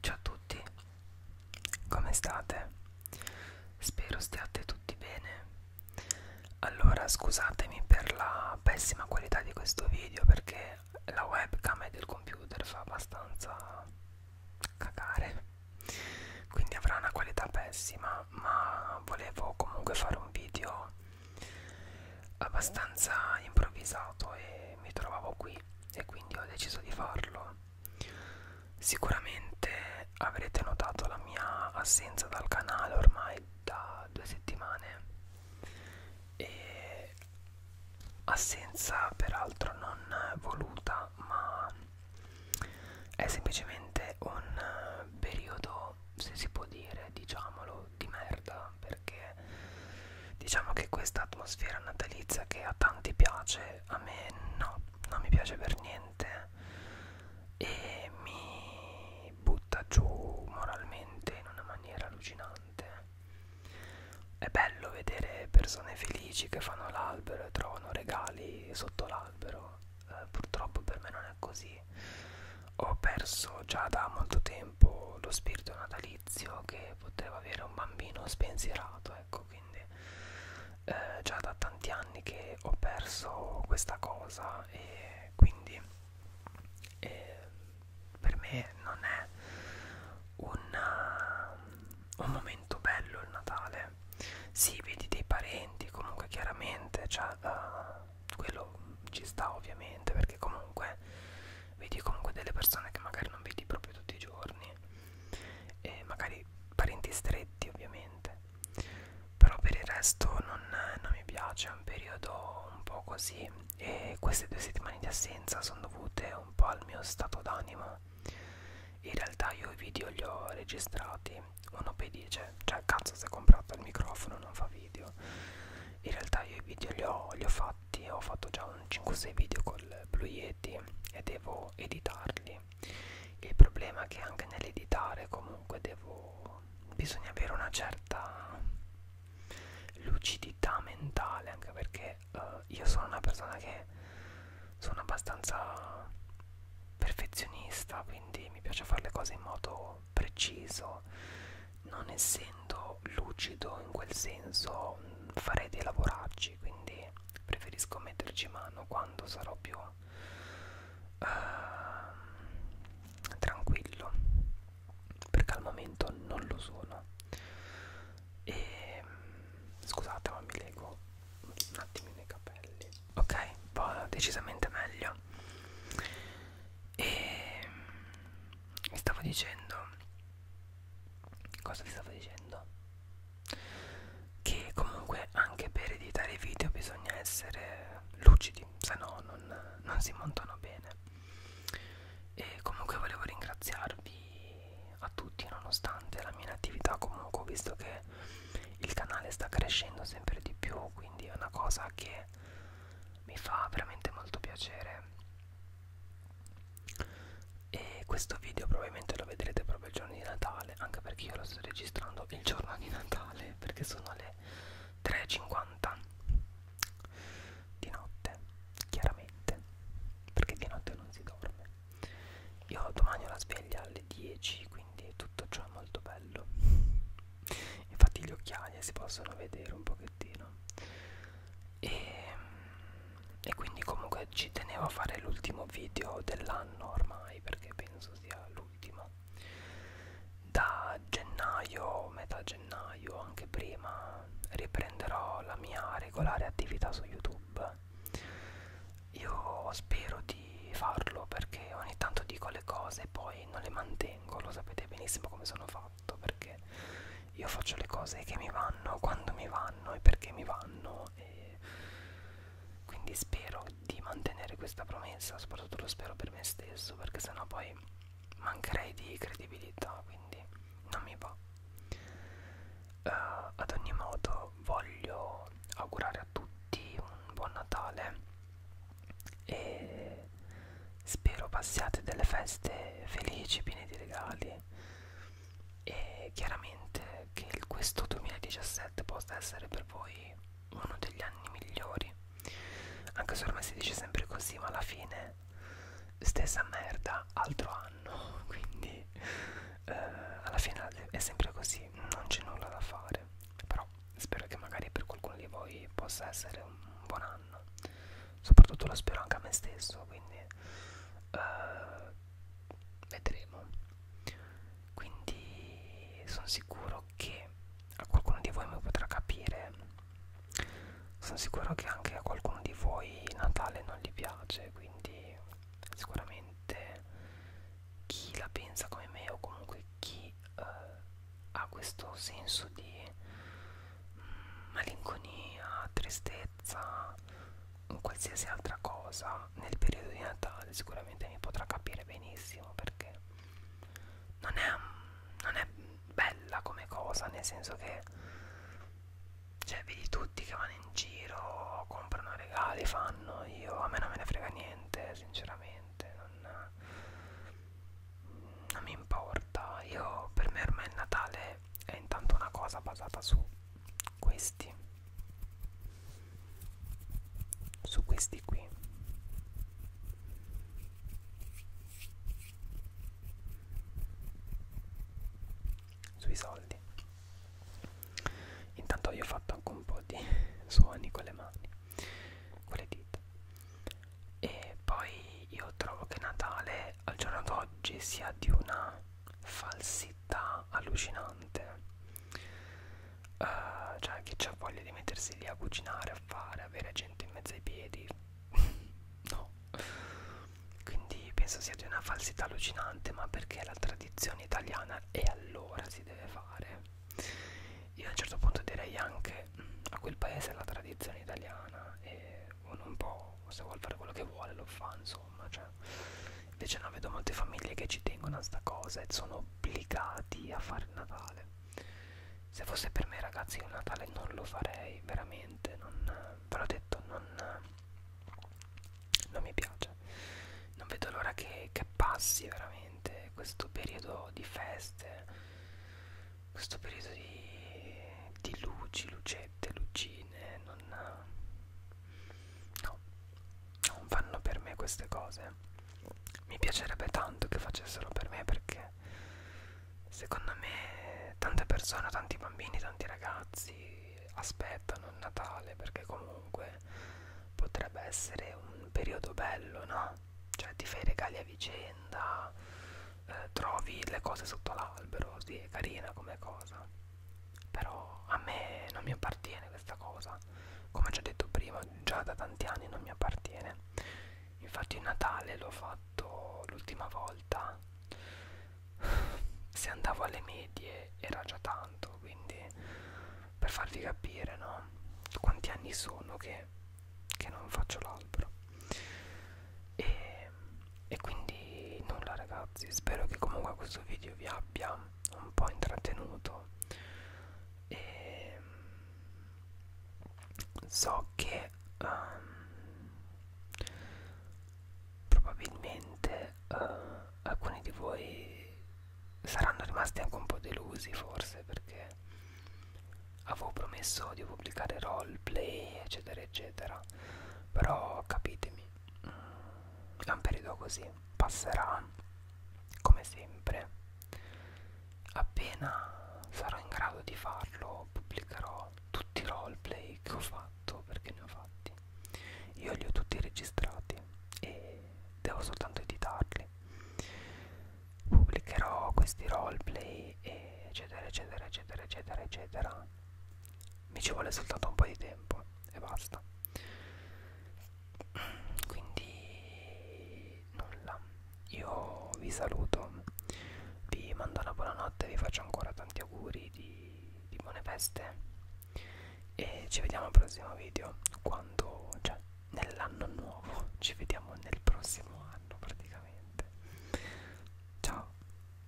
Ciao a tutti, come state? Spero stiate tutti bene. Allora scusatemi per la pessima qualità di questo video perché la webcam del computer fa abbastanza cagare, quindi avrà una qualità pessima, ma volevo comunque fare un video abbastanza improvvisato e mi trovavo qui e quindi ho deciso di farlo settimana sicuramente avrete notato la mia assenza dal canale ormai da due settimane e assenza peraltro non voluta ma è semplicemente un periodo se si può dire diciamolo di merda perché diciamo che questa atmosfera natalizia che a tanti piace a me no non mi piace per niente e mi butta giù moralmente in una maniera allucinante è bello vedere persone felici che fanno l'albero e trovano regali sotto l'albero eh, purtroppo per me non è così ho perso già da molto tempo lo spirito natalizio che poteva avere un bambino spensierato ecco quindi eh, già da tanti anni che ho perso questa cosa e quindi eh, per me non è una, eh, un momento bello il Natale sì vedi dei parenti comunque chiaramente cioè, uh, quello ci sta ovviamente perché comunque vedi comunque delle persone che magari non vedi proprio tutti i giorni vicini eh, e magari parenti stretti ovviamente però per il resto non, non mi piace è un periodo un po' così e queste due settimane di assenza sono dovute un po' al mio stato d'animo in realtà io i video li ho registrati uno poi dice cioè cazzo se hai comprato il microfono non fa video in realtà io i video li ho, li ho fatti ho fatto già un 5-6 video col Blue Yeti pezzetti e devo editarli il problema è che anche nell'editare comunque devo bisogna avere una certa lucidità mentale anche perché uh, io sono una persona che sono abbastanza perfezionista quindi mi piace fare le cose in modo preciso non essendo lucido in quel senso farei dei lavoracci oggi quindi preferisco metterci mano quando sarò più uh, tranquillo perché al momento non lo sono e scusate ma mi leggo un attimo nei capelli ok va decisamente meglio e mi stavo dicendo cosa ti stavo dicendo? Che comunque anche per editare i video bisogna essere lucidi, se no non, non si montano bene. E comunque volevo ringraziarvi a tutti, nonostante la mia inattività, comunque ho visto che il canale sta crescendo sempre di più, quindi è una cosa che mi fa veramente molto piacere e questo video probabilmente lo vedrete proprio il giorno di Natale anche perché io lo sto registrando il giorno di Natale perché sono le 3.50 di notte chiaramente perché di notte non si dorme io domani ho la sveglia alle 10 quindi tutto ciò è molto bello infatti gli occhiali si possono vedere un pochettino e e quindi comunque ci tenevo a fare l'ultimo video dell'anno ormai perché penso sia l'ultimo da gennaio metà gennaio anche prima riprenderò la mia regolare attività su youtube io spero di farlo perché ogni tanto dico le cose e poi non le mantengo lo sapete benissimo come sono fatto perché io faccio le cose che mi vanno, quando mi vanno e perché mi vanno e quindi spero di mantenere questa promessa, soprattutto lo spero per me stesso perché sennò poi mancherei di credibilità, quindi non mi va. Uh, ad ogni modo voglio augurare a tutti un buon Natale e spero passiate delle feste felici, piene di regali e chiaramente che questo 2017 possa essere per voi uno degli anni migliori anche se ormai si dice sempre così ma alla fine stessa merda altro anno quindi eh, alla fine è sempre così non c'è nulla da fare però spero che magari per qualcuno di voi possa essere un buon anno soprattutto la spero anche a me stesso quindi uh, vedremo quindi sono sicuro che a qualcuno di voi mi potrà capire sono sicuro che anche a qualcuno di voi Natale non gli piace quindi sicuramente chi la pensa come me o comunque chi uh, ha questo senso di mm, malinconia, tristezza, qualsiasi altra cosa nel periodo di Natale sicuramente mi potrà capire benissimo perché non è, non è bella come cosa, nel senso che cioè, vedi tutti che vanno in giro, comprano regali, fanno io, a me non me ne frega niente, sinceramente, non, non mi importa, io per me ormai il Natale è intanto una cosa basata su questi su questi qui sui soldi intanto io ho fatto anche un po' di suoni con le mani con le dita e poi io trovo che Natale al giorno d'oggi sia di una falsità allucinante uh, cioè chi c'ha voglia di mettersi lì a cucinare a fare avere gente in mezzo ai piedi no quindi penso sia di una falsità allucinante ma perché la tradizione italiana e allora si deve fare io a un certo punto direi anche mm, a quel paese è la tradizione italiana e uno un po' se vuole fare quello che vuole lo fa insomma insomma cioè. invece no vedo molte famiglie che ci tengono a sta cosa e sono obbligati a fare il Natale se fosse per me ragazzi il Natale non lo farei veramente non, ve l'ho detto non, non mi piace non vedo l'ora che, che passi veramente questo periodo di feste questo periodo di, di luci luce paillette, lucine, non, no, non fanno per me queste cose. Mi piacerebbe tanto che facessero per me perché secondo me tante persone, tanti bambini, tanti ragazzi aspettano il Natale perché comunque potrebbe essere un periodo bello, no? Cioè ti fai regali a vicenda, eh, trovi le cose sotto l'albero, sì, è carina come cosa però a me non mi appartiene questa cosa come ho già detto prima già da tanti anni non mi appartiene infatti il Natale l'ho fatto l'ultima volta se andavo alle medie era già tanto quindi per farvi capire no quanti anni sono che, che non faccio l'albero e, e quindi nulla ragazzi spero che comunque questo video vi abbia un po' intrattenuto e so che um, probabilmente uh, alcuni di voi saranno rimasti anche un po' delusi forse perché avevo promesso di pubblicare roleplay eccetera eccetera però capitemi è un periodo così, passerà come sempre. Appena sarò in grado di farlo, pubblicherò tutti i roleplay che ho fatto, perché ne ho fatti. Io li ho tutti registrati e devo soltanto editarli. Pubblicherò questi roleplay, eccetera, eccetera, eccetera, eccetera, eccetera mi ci vuole soltanto un po' di tempo e basta quindi nulla io vi saluto vi mando una buonanotte vi faccio ancora tanti auguri di, di buone feste e ci vediamo al prossimo video quando cioè nell'anno nuovo ci vediamo nel prossimo anno praticamente ciao